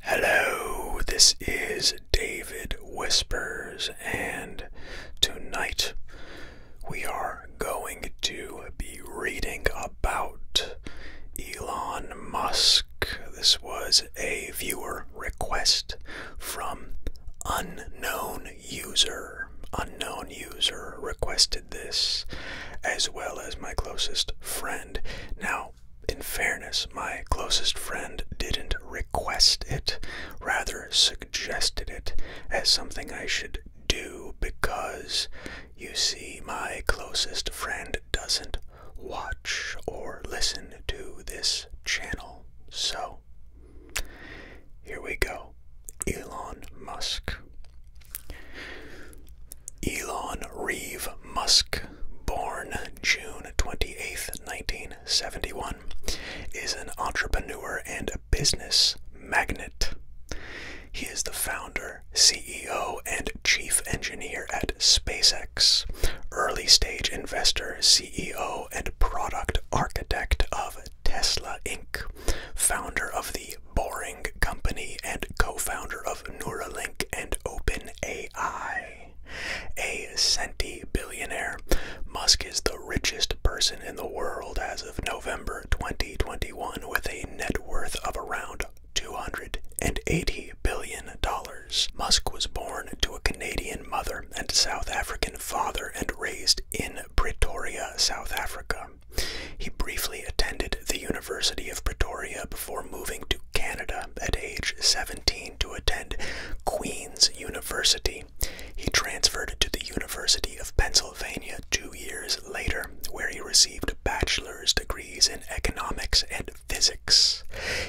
Hello, this is David Whispers, and tonight we are going to be reading about Elon Musk. This was a viewer request from unknown user. Unknown user requested this, as well as my closest friend. Now, in fairness, my closest friend didn't request it, rather, suggested it as something I should do because, you see, my closest friend doesn't watch or listen to this channel. So, here we go Elon Musk. Elon Reeve Musk, born June 28, 1971, is an entrepreneur and business magnate. He is the founder, CEO, and chief engineer at SpaceX, early stage investor, CEO, and product architect of Tesla Inc., founder of the Boring Company and co-founder of Neuralink and OpenAI. A centi-billionaire, Musk is the richest person in the world as of November 2021 with a net worth of around $280 billion. Musk was born to a Canadian mother and South African father and raised in Pretoria, South Africa. He briefly attended the University of Pretoria before moving to Canada at age 17 to attend Queen's University. He transferred to the University of Pennsylvania two years later, where he received bachelor's degrees in economics and physics.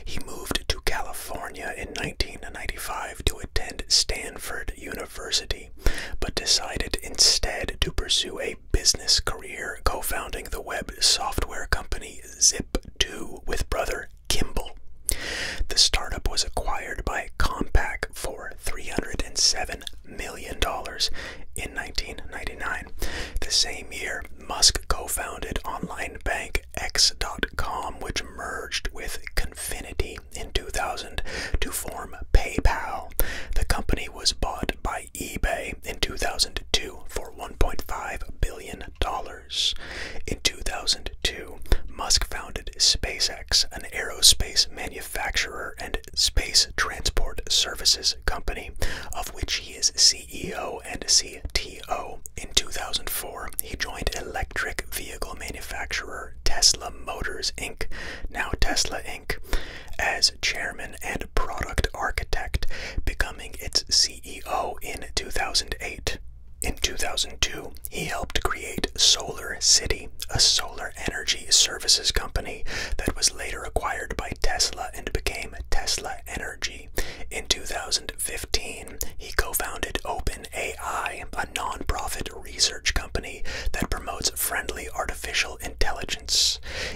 He moved to California in 1995 to attend Stanford University, but decided instead to pursue a business career co founding the web software company Zip2 with brother Kimball. The startup was acquired by Compaq for $307 million in 1999. The same year, Musk co founded online bank X.com, which merged with Confinity in 2000 to form PayPal. The company was bought by eBay in 2002 for $1.5 billion. In 2002, Musk founded SpaceX, an aerospace manufacturer and space transport services company, of which he is CEO and CTO. In 2004, he joined electric vehicle manufacturer Tesla Motors Inc., now Tesla Inc., as chairman and product architect, becoming its CEO in 2008. In 2002, he helped create Solar City, a solar energy services company that was later acquired by Tesla and became Tesla Energy. In 2015, he co founded OpenAI, a nonprofit research company that promotes friendly artificial intelligence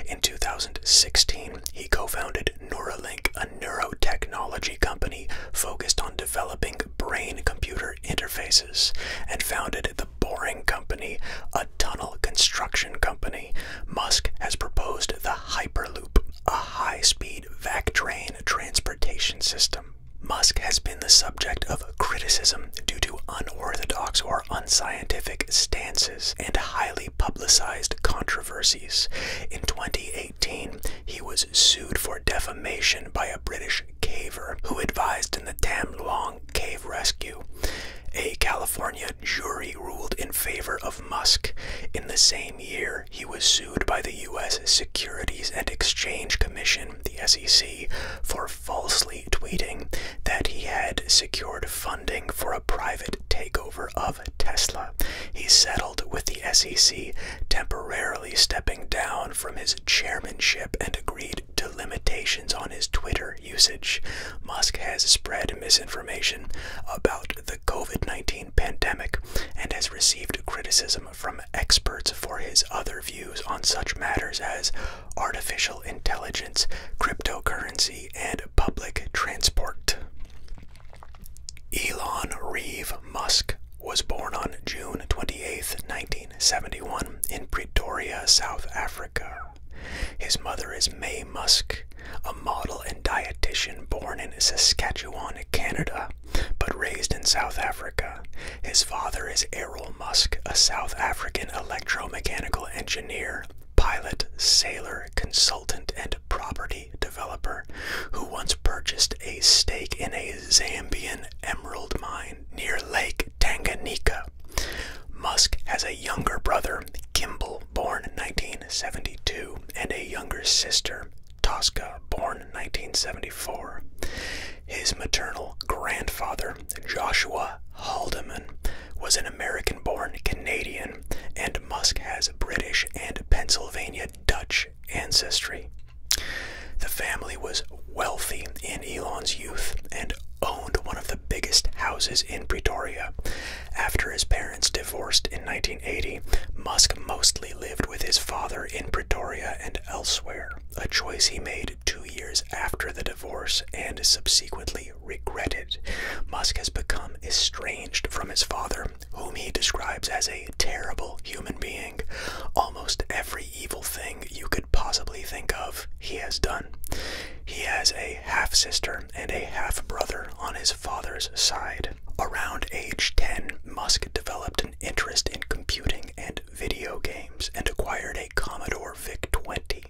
in 2016, he co founded Neuralink, a neurotechnology company focused on developing brain computer interfaces, and founded the Boring Company, a tunnel construction company. Musk has proposed the Hyperloop, a high speed vac train transportation system. Musk has been the subject of criticism due to unorthodox unscientific stances and highly publicized controversies. In 2018, he was sued for defamation by a British caver who advised in the Tam Luang cave rescue. A California jury ruled in favor of Musk. In the same year, he was sued by the U.S. Securities and Exchange Commission, the SEC, for falsely tweeting that he had secured funding for a private takeover of Tesla. He settled with the SEC, temporarily stepping down from his chairmanship and agreed to limitations on his Twitter usage. Musk has spread misinformation about the COVID 19 pandemic and has received criticism from experts for his other views on such matters as artificial intelligence, cryptocurrency, and public transport. Elon Reeve Musk was born on June 28, 1971, in Pretoria, South Africa. His mother is May Musk, a model and dietitian born in Saskatchewan, Canada, but raised in South Africa. His father is Errol Musk, a South African electromechanical engineer pilot, sailor, consultant, and property developer who once purchased a stake in a Zambian emerald mine near Lake Tanganyika. Musk has a younger brother, Kimball, born in 1972, and a younger sister, Tosca, born in 1974. His maternal grandfather, Joshua Haldeman, was an American born Canadian and Musk has British and Pennsylvania Dutch ancestry. The family was wealthy in Elon's youth and owned one of the biggest houses in Pretoria. After his parents divorced in 1980, Musk mostly lived with his father in Pretoria and elsewhere, a choice he made two years after the divorce and subsequently regretted. Musk has become estranged from his father, whom he describes as a terrible human being. Almost every evil thing you could possibly think of, he has done. He has a half sister and a half brother on his father's side. Around age 10, Musk developed an interest in computing and video games and acquired a Commodore VIC 20.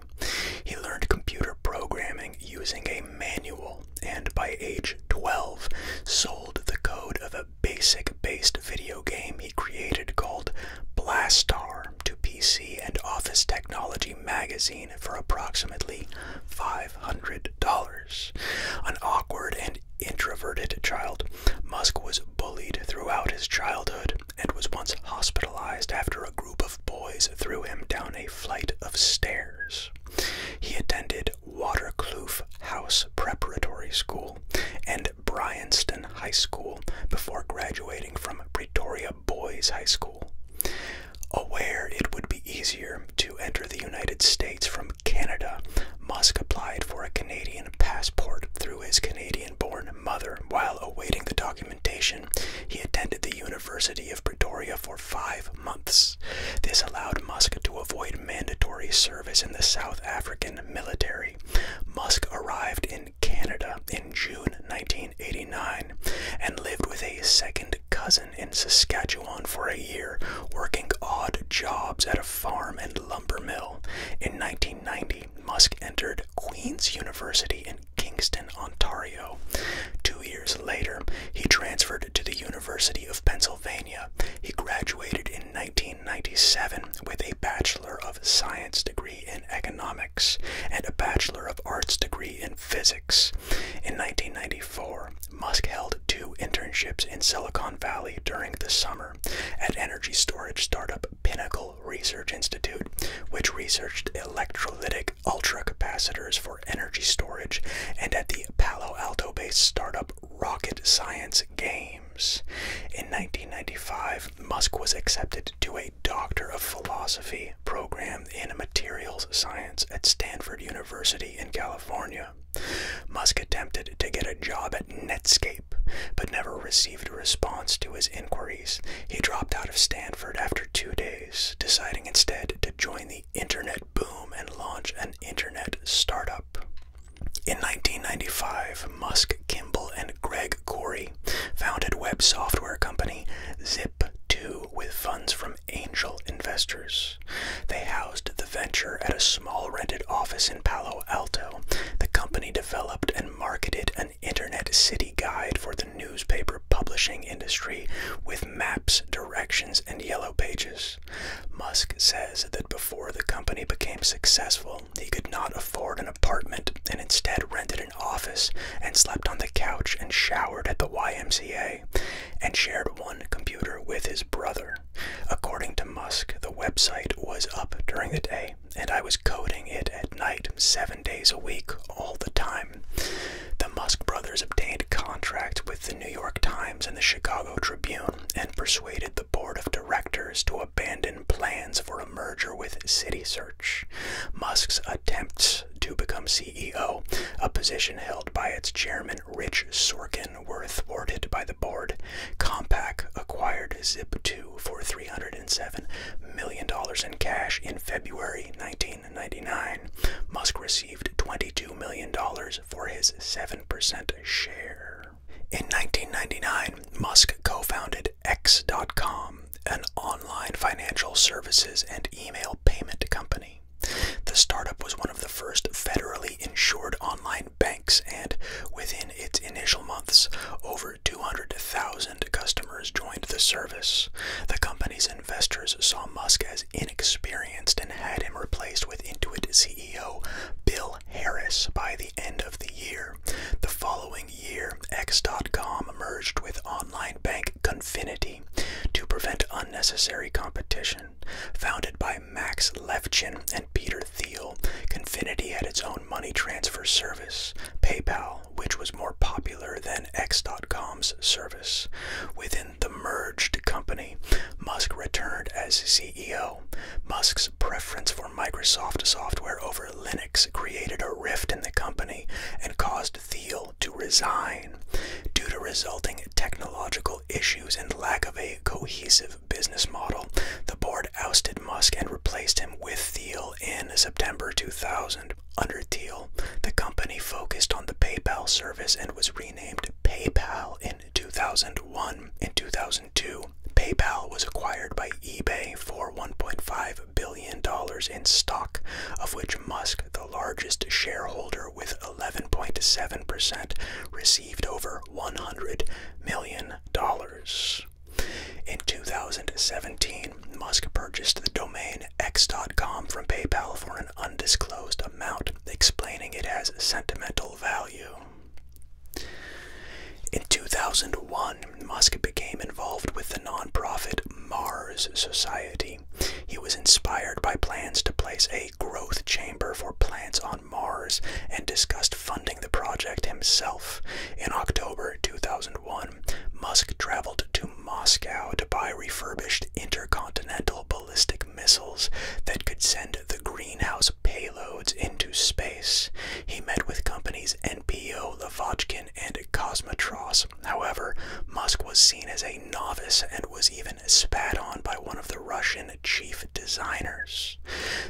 He learned computer programming using a manual and by age 12 sold the code of a basic based video game he created called Blastar to PC and Office Technology magazine for approximately $500. An awkward and introverted child, Musk was bullied throughout his childhood and was once hospitalized after a group of boys threw him down a flight of stairs. He attended Waterkloof House Preparatory School and Bryanston High School before graduating from Pretoria Boys High School. Aware it would be easier to enter the United States from Canada, Musk applied for a Canadian passport through his Canadian born mother while awaiting the document he attended the University of Pretoria for five months. This allowed Musk to avoid mandatory service in the South African military. Musk arrived in Canada in June 1989 and lived with a second cousin in Saskatchewan for a year, working odd jobs at a farm and lumber mill. In 1990, Musk entered Queen's University in Kingston, Ontario. Two years later, he transferred to the University of Pennsylvania. He graduated in 1997 with a Bachelor of Science degree in economics and a Bachelor of Arts degree in physics. In 1994, Musk held two internships in Silicon Valley during the summer at energy storage startup Pinnacle Research Institute, which researched electrolytic ultracapacitors for energy storage, and at the Palo Alto based startup Rocket Science Games. In 1995, Musk was accepted to a Doctor of Philosophy program in materials science at Stanford University in California. Musk attempted to get a job at Netscape, but never received a response to his inquiries. He dropped out of Stanford after two days deciding instead to join the internet boom and launch an internet startup. In 1995, Musk, Kimball, and Greg Corey founded web software company Zip2 with funds from angel investors. They housed the venture at a small rented office in Palo Alto. The company developed and marketed an internet city guide for the newspaper publishing industry with maps, directions, and yellow pages. Musk says that before the company became successful, he could not afford an apartment and instead rented an office and slept on the couch and showered at the YMCA and shared one computer with his brother. According to Musk, the website was up during the day and I was coding it at night, 7 days a week, all the time. The Musk brothers obtained contracts with the New York Times and the Chicago Tribune and persuaded the board of directors to abandon plans for a merger with CitySearch. Musk's attempts to become CEO, a position held by its chairman Rich Sorkin, were thwarted by the board. Compaq acquired Zip2 for $307 million in cash in February 19 in 1999, Musk received $22 million for his 7% share. In 1999, Musk co founded X.com, an online financial services and email payment company. The startup was one of the first federally insured online banks, and within its initial months, over 200,000 customers joined the service. The company's investors saw Musk as inexperienced and had him replaced with Intuit CEO Bill Harris by the end of the year. The following year, X.com merged with online bank Confinity to prevent unnecessary competition. Founded by Max Levchin and Peter Thiel, Confinity had its own money transfer service. PayPal which was more popular than X.com's service. Within the merged company, Musk returned as CEO. Musk's preference for Microsoft software over Linux created a rift in the company and caused Thiel to resign. Due to resulting technological issues and lack of a cohesive business model, the board ousted Musk and replaced him with Thiel in September 2000. Under Thiel, the company focused on the PayPal service and was renamed PayPal in 2001. In 2002, PayPal was acquired by eBay for $1.5 billion in stock, of which Musk, the largest shareholder with 11.7%, received over $100 million. In 2017, Musk purchased the domain X.com from PayPal for an undisclosed amount, explaining it as sentimental value. In 2001, Musk became involved with the nonprofit Mars Society. He was inspired by plans to place a growth chamber for plants on Mars and discussed funding the project himself. In October 2001, Musk traveled to Moscow to buy refurbished intercontinental ballistic missiles that could send the greenhouse payloads into space. He met with companies NPO, Lavochkin, and Cosmotros. However, Musk was seen as a novice and was even spat on by one of the Russian chief designers.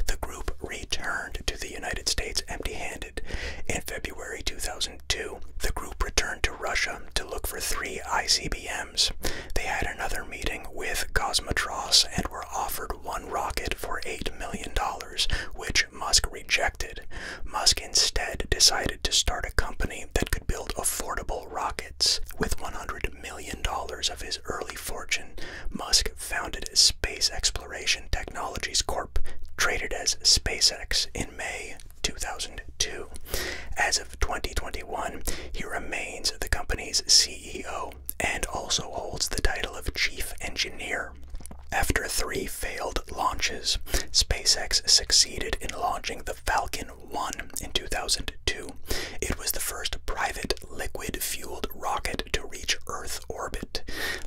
The group returned to the United States empty handed. In February 2000, 2002, the group returned to Russia to look for three ICBMs. They had another meeting with Cosmotros and were offered one rocket for $8 million, which Musk rejected. Musk instead decided to start a company that could build affordable rockets. With $100 million of his early fortune, Musk founded Space Exploration Technologies Corp, traded as SpaceX in May 2002. As of 2021, he remains the company's CEO and also holds the title of Chief Engineer. After three failed launches, SpaceX succeeded in launching the Falcon 1 in 2002. It was the first private liquid fueled rocket to reach Earth orbit.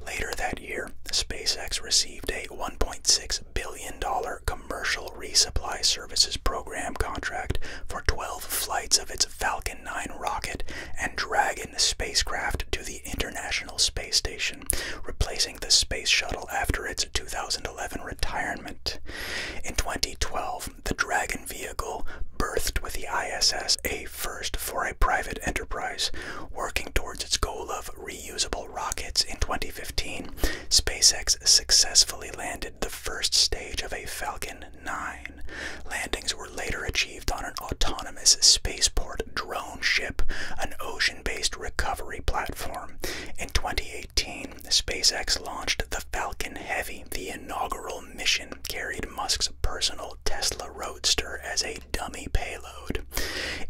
Later that year, SpaceX received a $1.6 billion Commercial Resupply Services Program contract for 12 flights of its Falcon 9 rocket and Dragon spacecraft to the International Space Station, replacing the Space Shuttle after its 2011 retirement. In 2012, the Dragon vehicle berthed with the ISS a first for a private enterprise, working towards its goal of reusable rockets in 2015, SpaceX successfully landed the first stage of a Falcon 9. Landings were later achieved on an autonomous spaceport drone ship, an ocean based recovery platform. In 2018, SpaceX launched the Falcon Heavy. The inaugural mission carried Musk's personal Tesla Roadster as a dummy payload.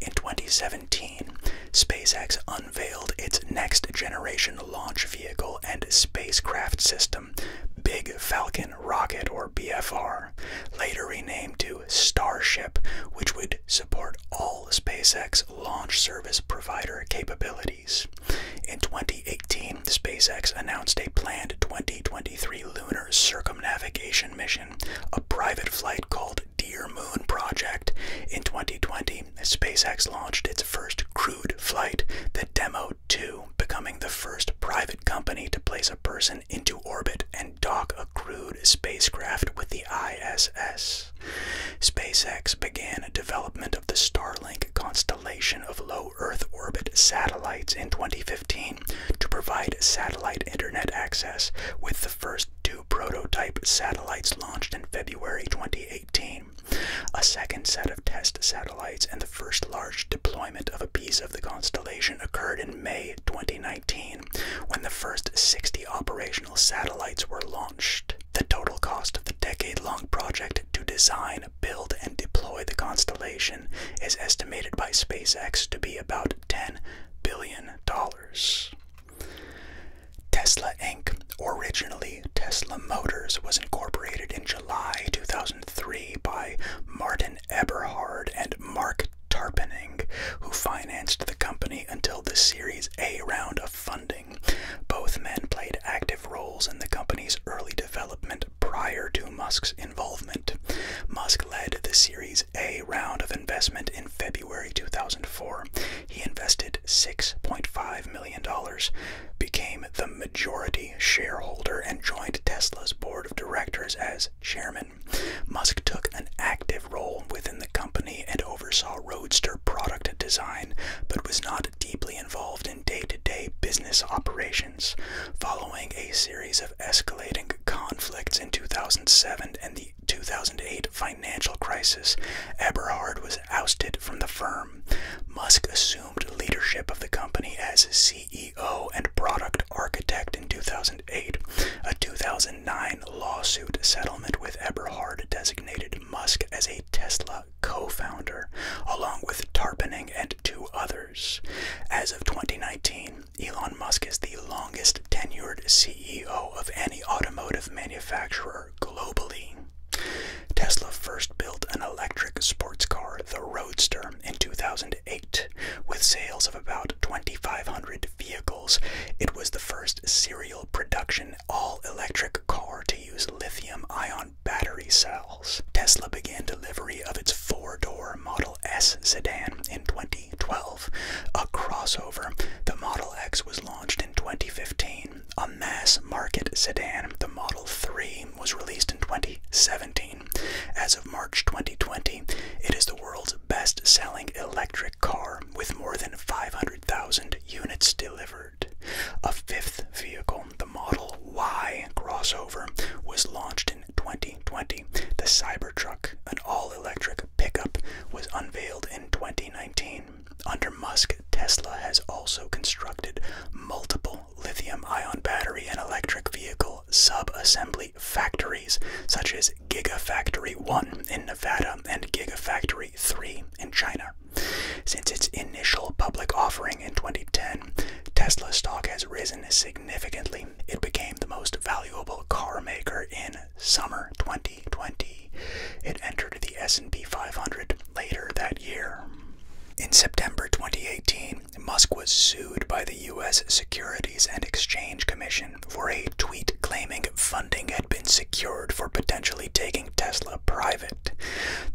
In 2017, SpaceX unveiled its next generation launch vehicle and spacecraft system, Big Falcon Rocket or BFR, later renamed to Starship, which would support all SpaceX launch service provider capabilities. In 2018, SpaceX announced a planned 2023 lunar circumnavigation mission, a private flight called Dear Moon Project. In 2020, SpaceX launched its first crewed flight, the Demo 2, becoming the first private company to place a person into orbit and dock a crewed spacecraft with the ISS. SpaceX began development of the Starlink constellation of low Earth orbit satellites in 2015 to provide satellite internet access, with the first two prototype satellites launched in February 2018, a second set of test satellites, and the first large deployment of a piece of the constellation occurred in May 2019 when the first 60 operational satellites were launched. The total cost of the decade long project to design, build, and deploy the constellation is estimated by SpaceX to be about $10 billion. Tesla Inc., originally Tesla Motors, was incorporated in July 2003 by Martin Eberhard and Mark Tarpening, who financed the company until the Series A round of funding. Both men played active roles in the company's early development prior to Musk's involvement. Musk led the Series A round of investment in February 2004 he invested $6.5 million, became the majority shareholder, and joined Tesla's board of directors as chairman. Musk took an active role within the company and oversaw Roadster product design, but was not deeply involved in day to day business operations. Following a series of escalating conflicts in 2007 and the 2008 financial crisis, Eberhard was ousted from the firm. Musk assumed leadership of the company as CEO and product architect in 2008. A 2009 lawsuit settlement with Eberhard designated Musk as a Tesla co founder, along with Tarpening and two others. As of 2019, Elon Musk is the longest tenured CEO of any automotive manufacturer globally. Tesla first built an electric sports car, the Roadster, in 2008. With sales of about 2,500 vehicles, it was the first serial production all electric car to use lithium ion battery cells. Tesla began delivery of its four door Model S sedan in 2012. A crossover, the Model X was launched in 2015, a mass market sedan, the Model 3, was released in 2017. As of March 2020, it is the world's best selling electric car with more than 500,000 units delivered. A fifth vehicle, the Model Y crossover, was launched in 2020. The Cybertruck, an all electric pickup, was unveiled in 2019. Under Musk, Tesla has also constructed multiple lithium ion battery and electric vehicle sub assembly factories, such as Gigafactory 1 in Nevada and Gigafactory 3 in China. Since its initial public offering in 2010, Tesla stock has risen significantly. It became the most valuable car maker in summer 2020. It entered the S&P 500 later that year. In September 2018, Musk was sued by the US Securities and Exchange Commission for a tweet claiming funding had been secured for potentially taking Tesla private.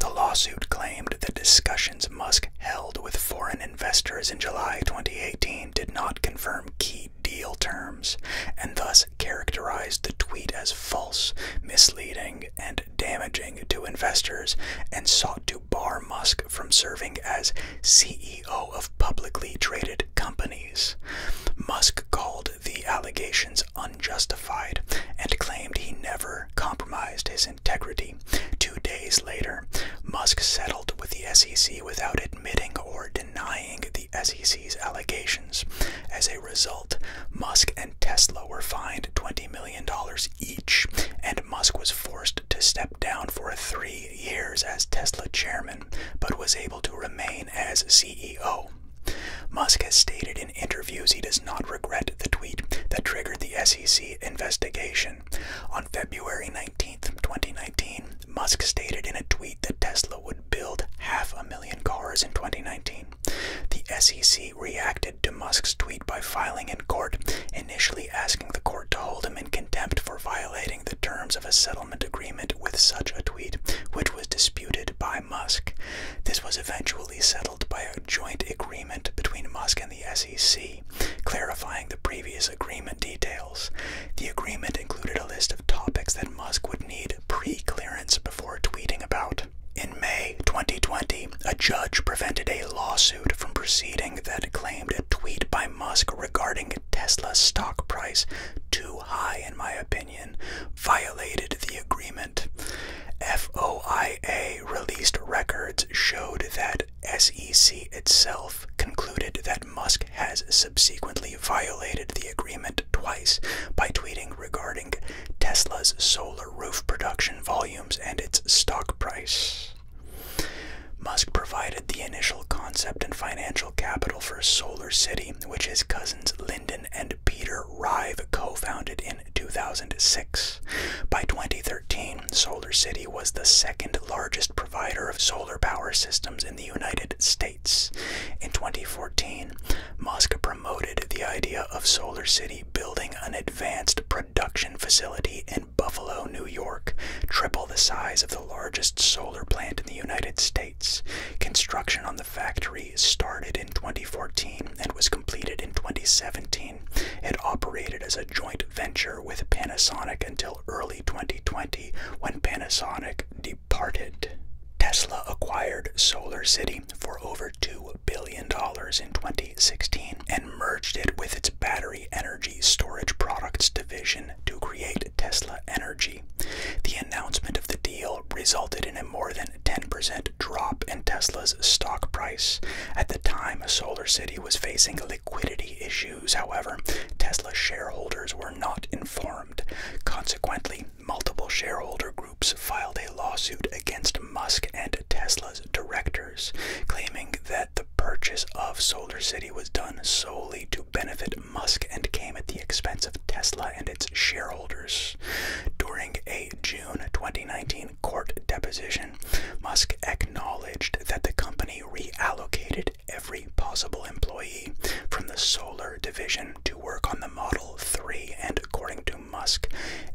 The lawsuit claimed the discussions Musk held with foreign investors in July 2018 did not confirm key deal terms, and thus characterized the tweet as false, misleading, and damaging to investors, and sought to bar Musk from serving as CEO of publicly traded companies. Musk called the allegations unjustified and claimed he never compromised his integrity. Two days later, Musk settled with the SEC without admitting or denying the SEC disease allegations. As a result, Musk and Tesla were fined $20 million each, and Musk was forced to step down for three years as Tesla chairman, but was able to remain as CEO. Musk has stated in interviews he does not regret the tweet that triggered the SEC investigation. On February 19, 2019, Musk stated in a tweet that Tesla would build half a million cars in 2019. The SEC reacted to Musk's tweet by filing in court, initially asking the court to hold him in contempt for violating the terms of a settlement agreement with such a tweet, which was disputed by Musk. This was eventually settled by a joint agreement between Musk and the SEC, clarifying the previous agreement details. The agreement included a list of topics that Musk would need pre clearance before tweeting about. In May 2020, a judge prevented a lawsuit from proceeding that claimed a tweet by Musk regarding Tesla's stock price, too high in my opinion, violated the agreement. FOIA released records showed that SEC itself concluded that Musk has subsequently violated the agreement twice by tweeting regarding Tesla's solar roof production volumes and its stock price. Musk provided the initial concept and financial capital for Solar City, which his cousins Lyndon and Peter Rive co founded in 2006. By 2013, Solar City was the second largest provider of solar power systems in the United States. In 2014, Mosca promoted the idea of Solar City building an advanced production facility in Buffalo, New York, triple the size of the largest solar plant in the United States. Construction on the factory started in 2014 and was completed in 2017. It operated as a joint venture with Panasonic until early 2020 when Panasonic departed. Tesla acquired Solar City for over $2 billion in 2016 and merged it with its battery energy storage products division to create Tesla Energy. The announcement of the deal resulted in a more than 10% drop in Tesla's stock price. At the time, Solar City was facing liquidity issues, however, Tesla shareholders were not informed. Consequently, multiple shareholder groups filed a lawsuit against Musk and Tesla's directors, claiming that the purchase of Solar City was done solely to benefit Musk and came at the expense of Tesla and its shareholders. During a June 2019 court deposition, Musk acknowledged that the company reallocated every possible employee from the solar division to work on the Model 3, and according to Musk,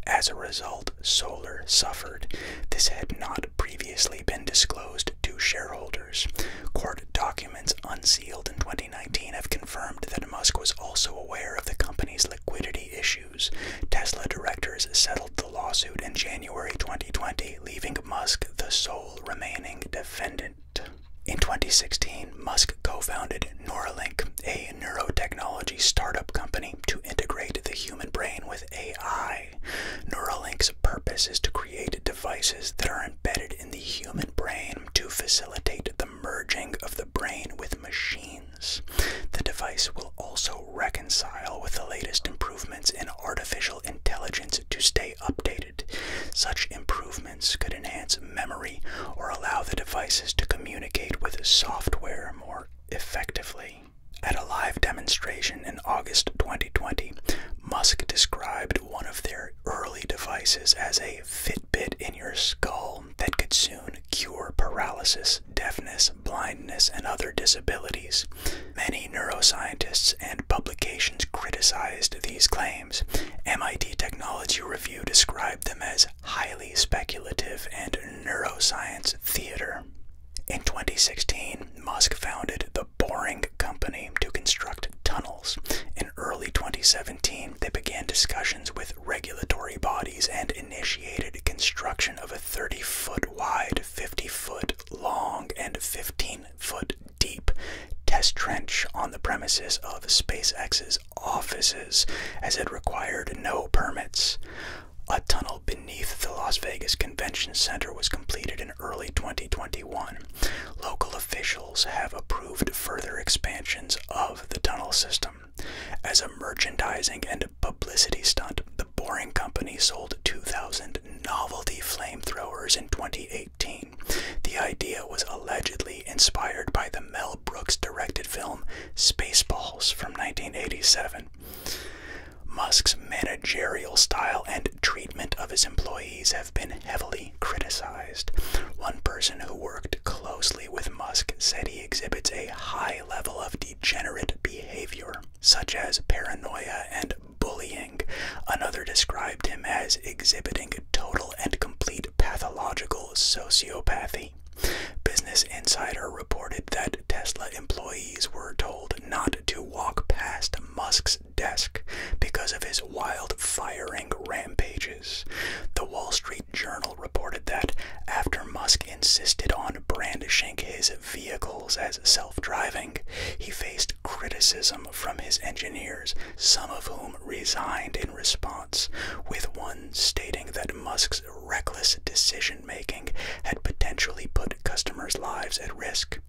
as a result, Solar suffered. This had not previously been disclosed to shareholders. Court documents unsealed in 2019 have confirmed that Musk was also aware of the company's liquidity issues. Tesla directors settled the lawsuit in January 2020, leaving Musk the sole remaining defendant. In 2016, Musk co founded Neuralink, a neurotechnology startup company, to integrate the human brain with AI. Neuralink's purpose is to create devices that are embedded in the human brain to facilitate the merging of the brain with machines. The device will also reconcile with the latest improvements in artificial intelligence to stay updated. Such improvements could enhance memory or allow the devices to communicate with software more effectively. At a live demonstration in August 2020, Musk described one of their early devices as a Fitbit in your skull that could soon cure paralysis, deafness, blindness, and other disabilities. Many neuroscientists and publications criticized these claims claims. MIT Technology Review described them as highly speculative and neuroscience theater. In 2016, Musk founded the Boring Company to construct tunnels. In early 2017, they began discussions with regulatory bodies and initiated construction of a 30 foot wide, 50 foot long, and 15 foot deep test trench on the premises of SpaceX's offices, as it required no permits. A tunnel beneath the Las Vegas Convention Center was completed in early 2021. Local officials have approved further expansions of the tunnel system. As a merchandising and publicity stunt, the Boring Company sold 2,000 novelty flamethrowers in 2018 the idea was allegedly inspired by the Mel Brooks directed film Spaceballs from 1987. Musk's managerial style and treatment of his employees have been heavily criticized. One person who worked closely with Musk said he exhibits a high level of degenerate behavior, such as paranoia and bullying. Another described him as exhibiting total and complete pathological sociopathy. Business Insider reported that Tesla employees were told not to walk past Musk's desk because of his wild firing rampages. The Wall Street Journal reported that after Musk insisted on brandishing his vehicles as self driving, he faced criticism from his engineers, some of whom resigned response, with one stating that Musk's reckless decision making had potentially put customers' lives at risk.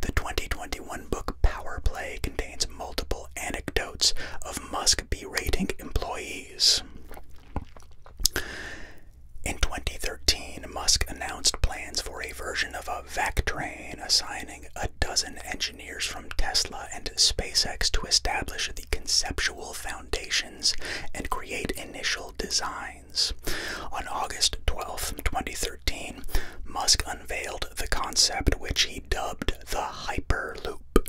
The 2021 book Power Play contains multiple anecdotes of Musk berating employees. In 2013, Musk announced plans for a version of a vac train, assigning a dozen engineers engineers from Tesla and SpaceX to establish the conceptual foundations and create initial designs. On August 12, 2013, Musk unveiled the concept which he dubbed the Hyperloop.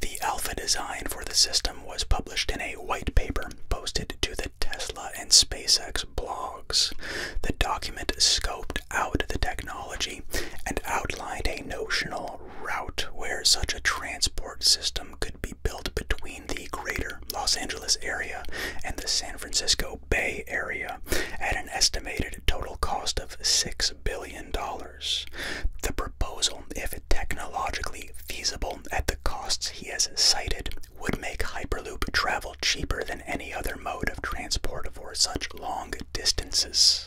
The alpha design for the system was published in a white paper posted to the Tesla and SpaceX blogs. The document scoped mapped out the technology and outlined a notional route where such a transport system could be built between the greater Los Angeles area and the San Francisco Bay Area at an estimated total cost of $6 billion. The proposal, if technologically feasible at the costs he has cited, would make Hyperloop travel cheaper than any other mode of transport for such long distances.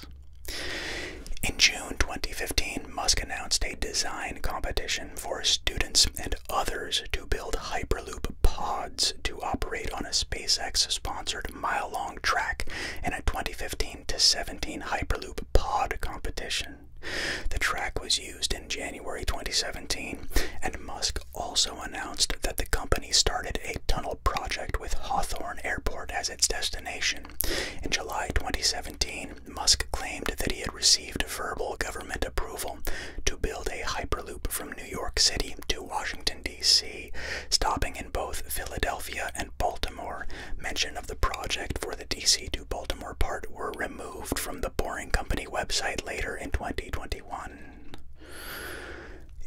In June 2015, Musk announced a design competition for students and others to build Hyperloop pods to operate on a SpaceX sponsored mile long track in a 2015 to 17 Hyperloop pod competition. The track was used in January 2017, and Musk also announced that the company started a tunnel project with Hawthorne Airport as its destination. In July 2017, Musk claimed that he had received verbal government approval to build a Hyperloop from New York City to Washington, D.C., stopping in both Philadelphia and Baltimore. Mention of the project for the D.C. to Baltimore part were removed from the Boring Company website later in 2021.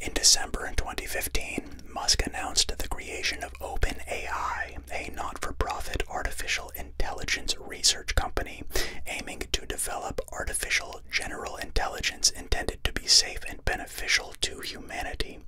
In December 2015, Musk announced the creation of OpenAI, a not for profit artificial intelligence research company aiming to develop artificial general intelligence intended to be safe and beneficial to humanity.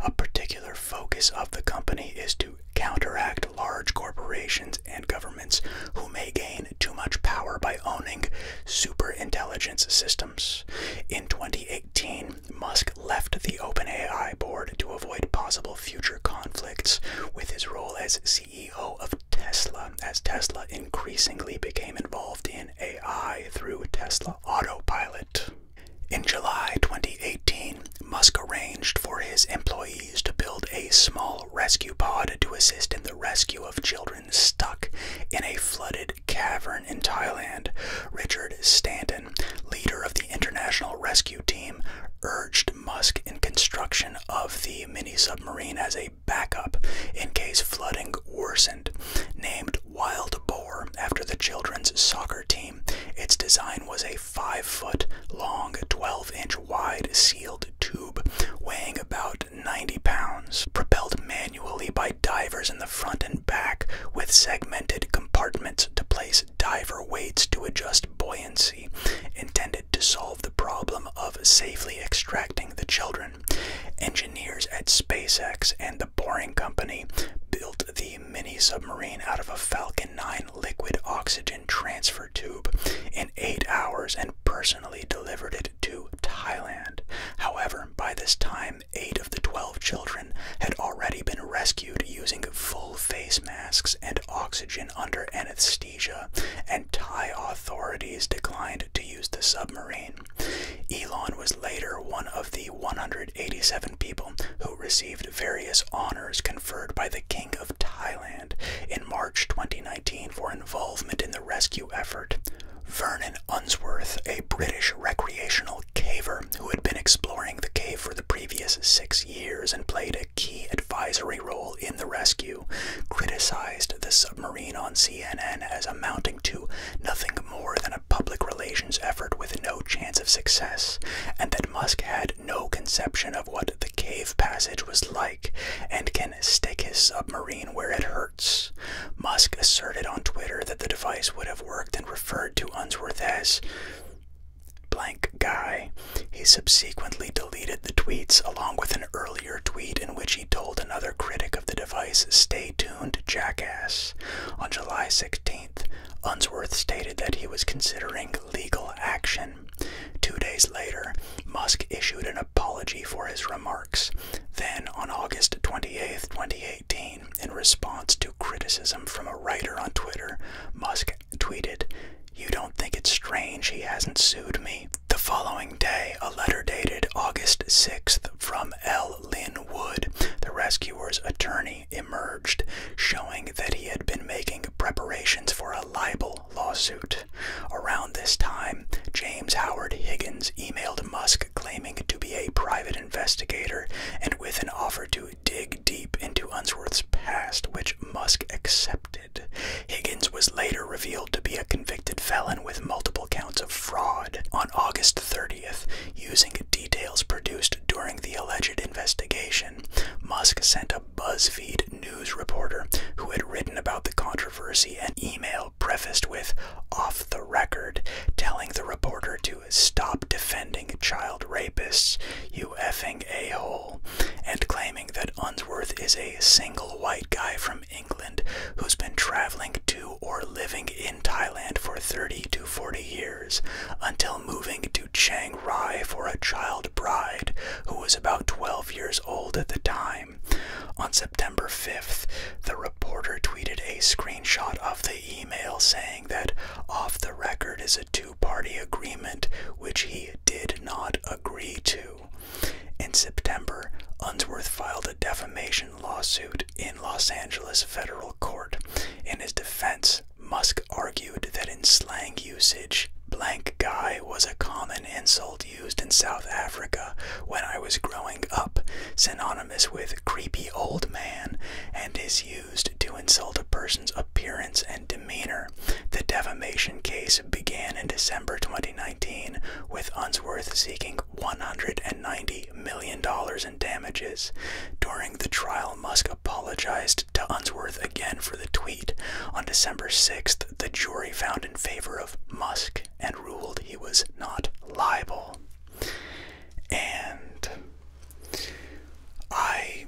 A particular focus of the company is to counteract large corporations and governments who may gain too much power by owning superintelligence systems. In 2018, Musk left the OpenAI board to avoid possible future conflicts with his role as CEO of Tesla, as Tesla increasingly became involved in AI through Tesla Autopilot. In July 2018, Musk arranged for his employees to build a small rescue pod to assist in the rescue of children stuck in a flooded cavern in Thailand, Richard Stanton, leader of the International Rescue Team, urged Musk in construction of the mini submarine as a backup in case flooding worsened. Named Wild Boar after the children's soccer team, its design was a 5 foot long, 12 inch wide sealed tube weighing about 90 pounds, propelled manually by divers in the front and back with segmented compartments to place diver weights to adjust buoyancy, intended to solve the problem of safely extracting the children. Engineers at SpaceX and the Boring Company built the mini submarine out of a Falcon 9 liquid oxygen transfer tube in eight hours and personally delivered it to Thailand. However, by this time, eight of the 12 children had already been rescued using full face masks and oxygen under anesthesia, and Thai authorities declined to use the submarine. Elon was later one of the 187 people who received various honors conferred by the King of Thailand in March 2019 for involvement in the rescue effort. Vernon Unsworth, a British recreational caver who had been exploring the cave for the previous six years and played a key advisory role in the rescue, criticized the submarine on CNN as amounting to nothing more than a public relations effort with no chance of success, and that Musk had no conception of what the cave passage was like and can stick his submarine where it hurts. Musk asserted on Twitter that the device would have worked and referred to Unsworth as blank guy. He subsequently deleted the tweets along with an earlier tweet in which he told another critic of the device, Stay tuned, jackass. On July 16th, Unsworth stated that he was considering legal action. Two days later, Musk issued an apology for his remarks. Then, on August 28, 2018, in response to criticism from a writer on Twitter, Musk tweeted, You don't think it's strange he hasn't sued me? The following day, a letter dated August 6th from L. Lynn Wood, the rescuer's attorney, emerged, showing that he had been making preparations for a libel lawsuit. Around this time, James Howard Higgins emailed Musk claiming to be a private investigator and with an offer to dig deep into Unsworth's past, which Musk accepted. Higgins was later revealed to be a convicted felon with multiple counts of fraud. On August 30th, using details produced during the alleged investigation, Musk sent a BuzzFeed news reporter who had written about the controversy an email prefaced with off the record, telling the reporter to stop defending child rapists, you effing a hole, and claiming that Unsworth is a single white guy from England who's been traveling to or living in Thailand for 30 to 40 years until moving to Chiang Rai for a child bride who was about 12 years old at the time. On September 5th, the reporter tweeted a screenshot of the email saying that off the record is a two party agreement which he did not agree to. In September, Unsworth filed a defamation lawsuit in Los Angeles federal court. In his defense, Musk argued that in slang usage, blank guy was a common insult used in South Africa when I was growing up, synonymous is with creepy old man and is used to insult a person's appearance and demeanor. The defamation case began in December 2019 with Unsworth seeking $190 million in damages. During the trial, Musk apologized to Unsworth again for the tweet. On December 6th, the jury found in favor of Musk and ruled he was not liable and I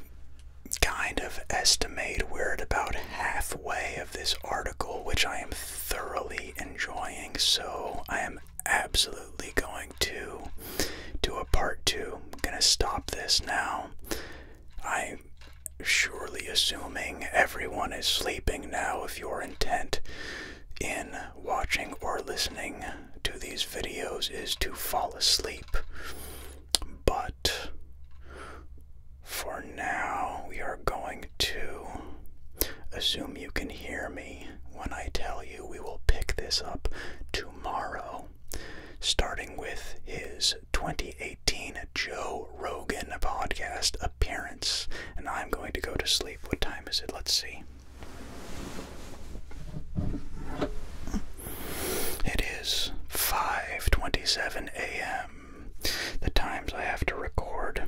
kind of estimate we're at about halfway of this article, which I am thoroughly enjoying, so I am absolutely going to do a part two. I'm gonna stop this now. I'm surely assuming everyone is sleeping now if you're intent in watching or listening to these videos is to fall asleep. But for now, we are going to assume you can hear me when I tell you we will pick this up tomorrow, starting with his 2018 Joe Rogan podcast appearance. And I'm going to go to sleep. What time is it? Let's see. It is 5:27 a.m. The times I have to record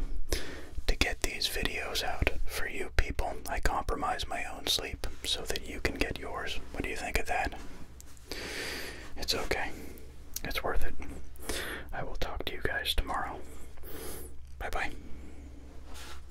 to get these videos out for you people. I compromise my own sleep so that you can get yours. What do you think of that? It's okay. It's worth it. I will talk to you guys tomorrow. Bye bye.